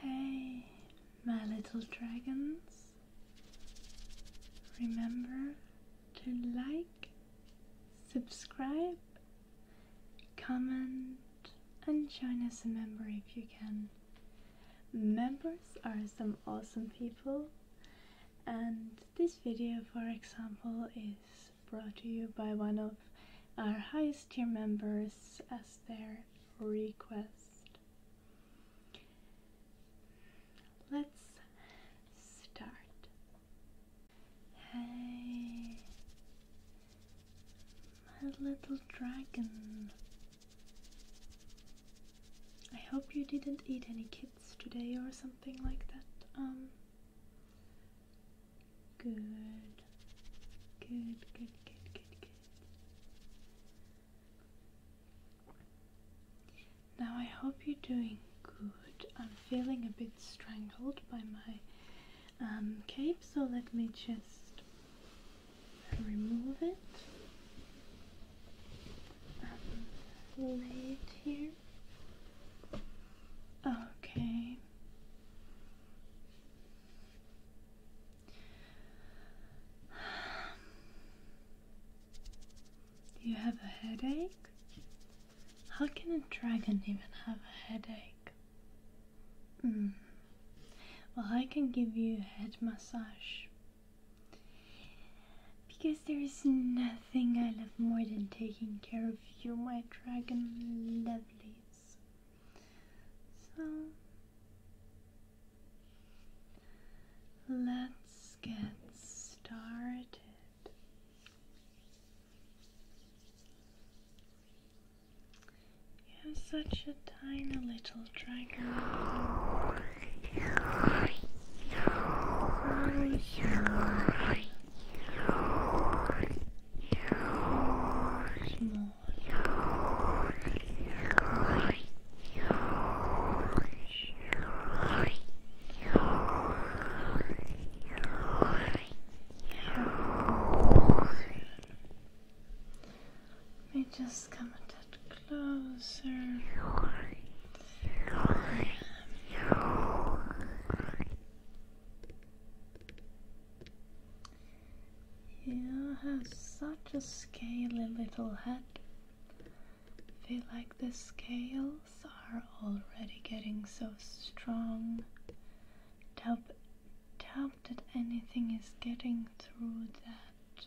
Hey, my little dragons, remember to like, subscribe, comment, and join as a member if you can. Members are some awesome people, and this video, for example, is brought to you by one of our highest tier members as their request. Let's start. Hey, my little dragon. I hope you didn't eat any kids today or something like that. Um, good, good, good, good, good, good. Now, I hope you're doing good. I'm feeling a bit strangled by my um, cape, so let me just remove it. Um, lay it here. Okay. Do You have a headache? How can a dragon even have a headache? Mm. Well, I can give you a head massage. Because there is nothing I love more than taking care of you, my dragon lovelies. So let's get started. You have such a tiny little dragon. Let me just come a touch closer. Good. Yeah, has such a scaly little head. feel like the scales are already getting so strong. Doubt, doubt that anything is getting through that.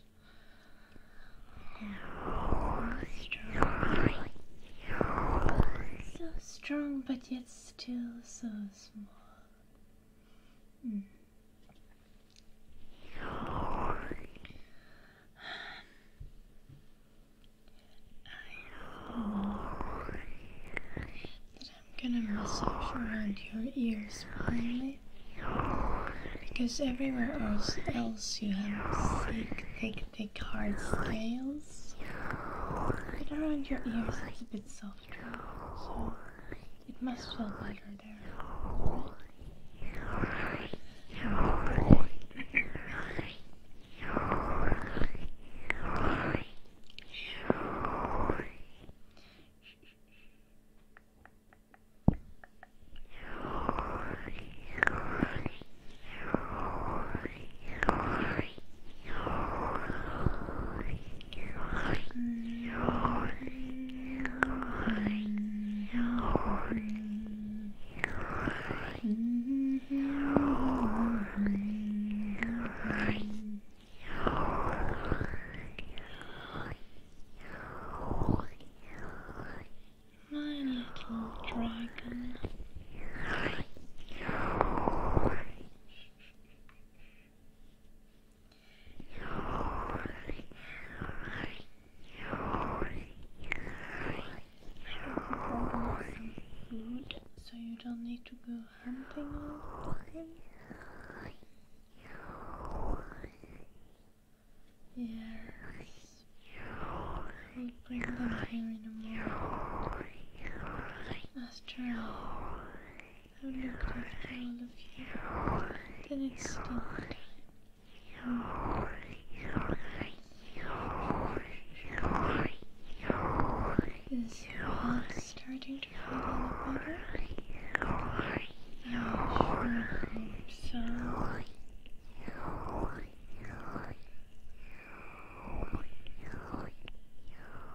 So strong, but yet still so small. I know that I'm gonna massage around your ears finally. Because everywhere else, else you have thick, thick, thick hard scales. But around your ears it's a soft it must feel better there. Right? My little dragon. Food, so you don't need to go hunting all the time. Yes. We'll bring them here in a moment. Astral. I've looked after all of you the next day. Is starting to feel a little better? I sure hope so.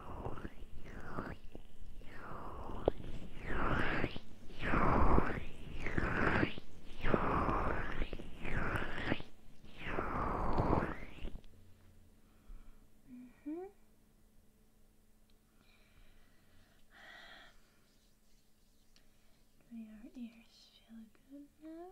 Mm -hmm. Do your ears feel good now?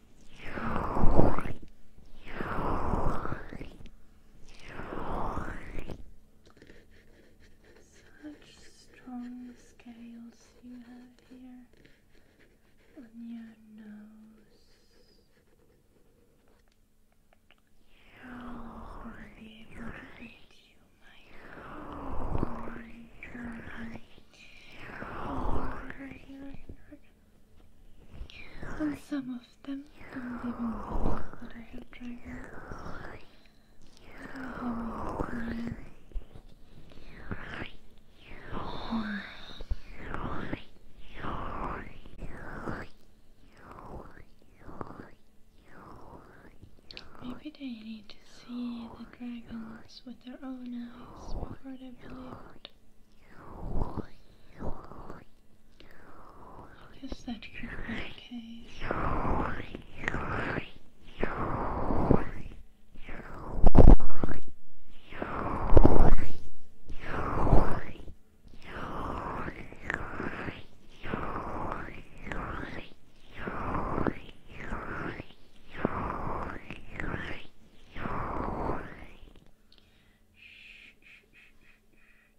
Such strong scales you have here on your nose. They protect you, my God. And some of them don't even know that I have dragon. Maybe they need to see the dragons with their own eyes before I guess that could be the case.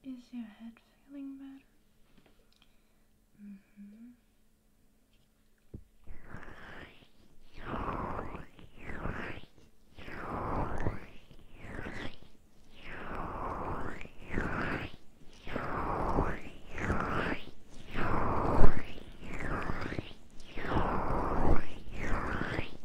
Is your head feeling better? Mm hmm.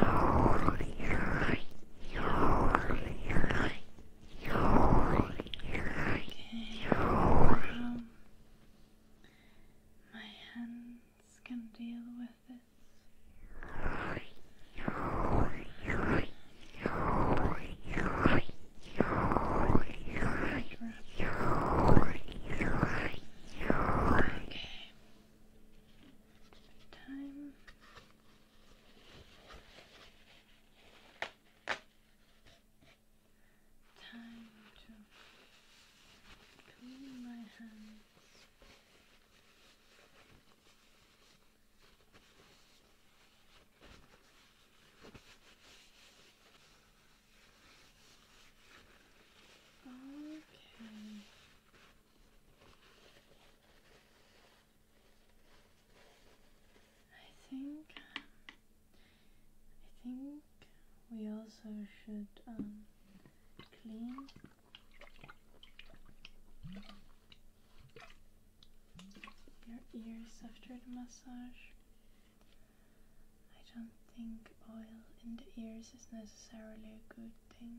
um, my hands can deal with this. Okay time. Time to clean my hands. Okay. I think I think we also should um, clean your ears after the massage. I don't think oil in the ears is necessarily a good thing.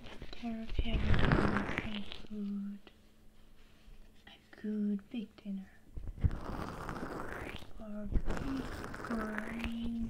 taking food, a good big dinner, or big green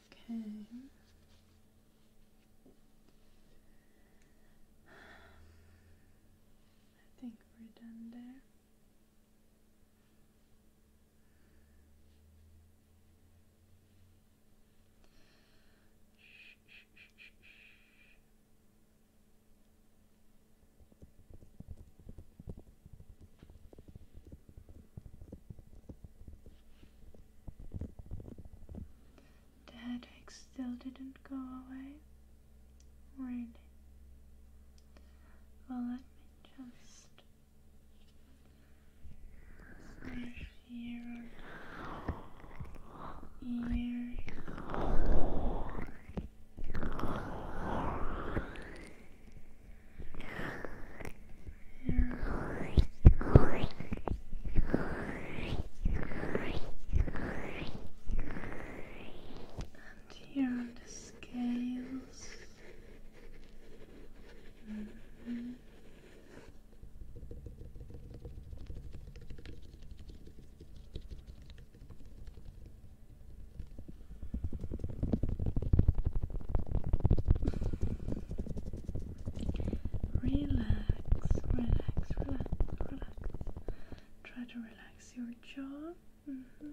Okay. I think we're done there. The headache still didn't go away? Really? Well, let me just sniff your and here on the scales. Mm -hmm. Relax, relax, relax, relax. Try to relax your jaw. -hmm. -hmm.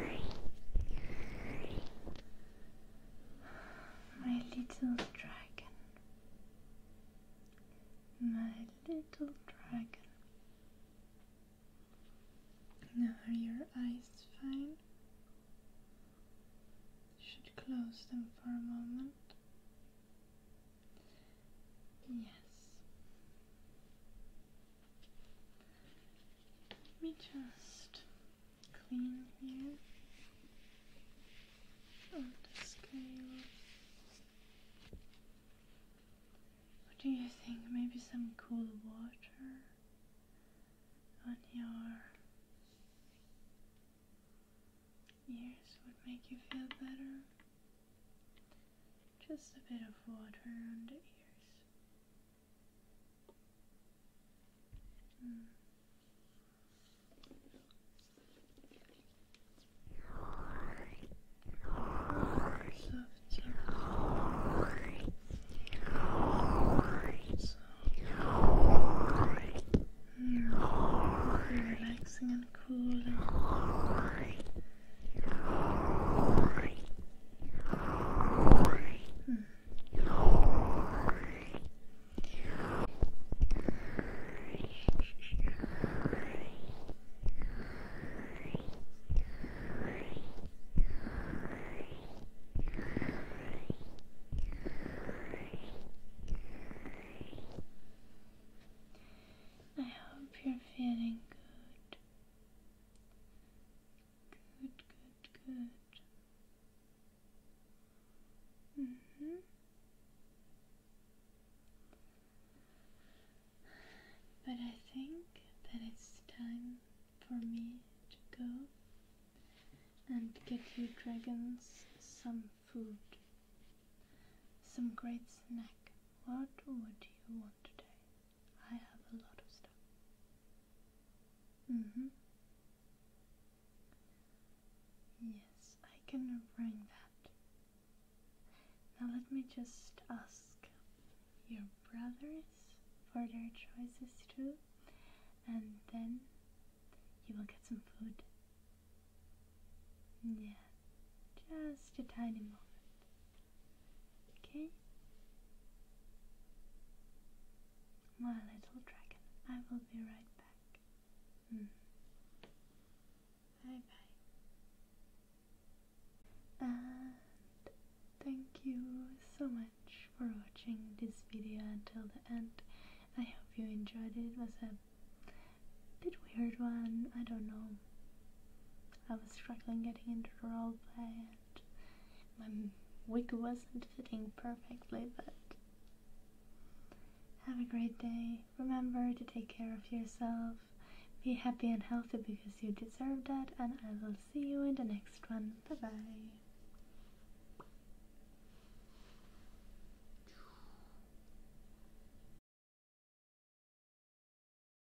My little dragon, my little dragon. Now are your eyes fine? Should close them for a moment. Yes. Let me just clean here on scale. What do you think? Maybe some cool water on your ears would make you feel better. Just a bit of water around the ears. Mm. Soft, soft. So, mm, relaxing and cool. I hope you're feeling good. Good, good, good. Mm hmm But I think that it's time for me to go and get you dragons some food. Some great snack. What What do you want today? I have a lot of stuff. Mm hmm. Yes, I can bring that. Now let me just ask your brothers for their choices too, and then you will get some food. Yeah, just a tiny moment. Okay? My little dragon, I will be right back. Hmm. Bye bye. And thank you so much for watching this video until the end. I hope you enjoyed it. It was a bit weird one. I don't know. I was struggling getting into the role play and my wig wasn't fitting perfectly, but have a great day. Remember to take care of yourself. Be happy and healthy because you deserve that, and I will see you in the next one. Bye bye.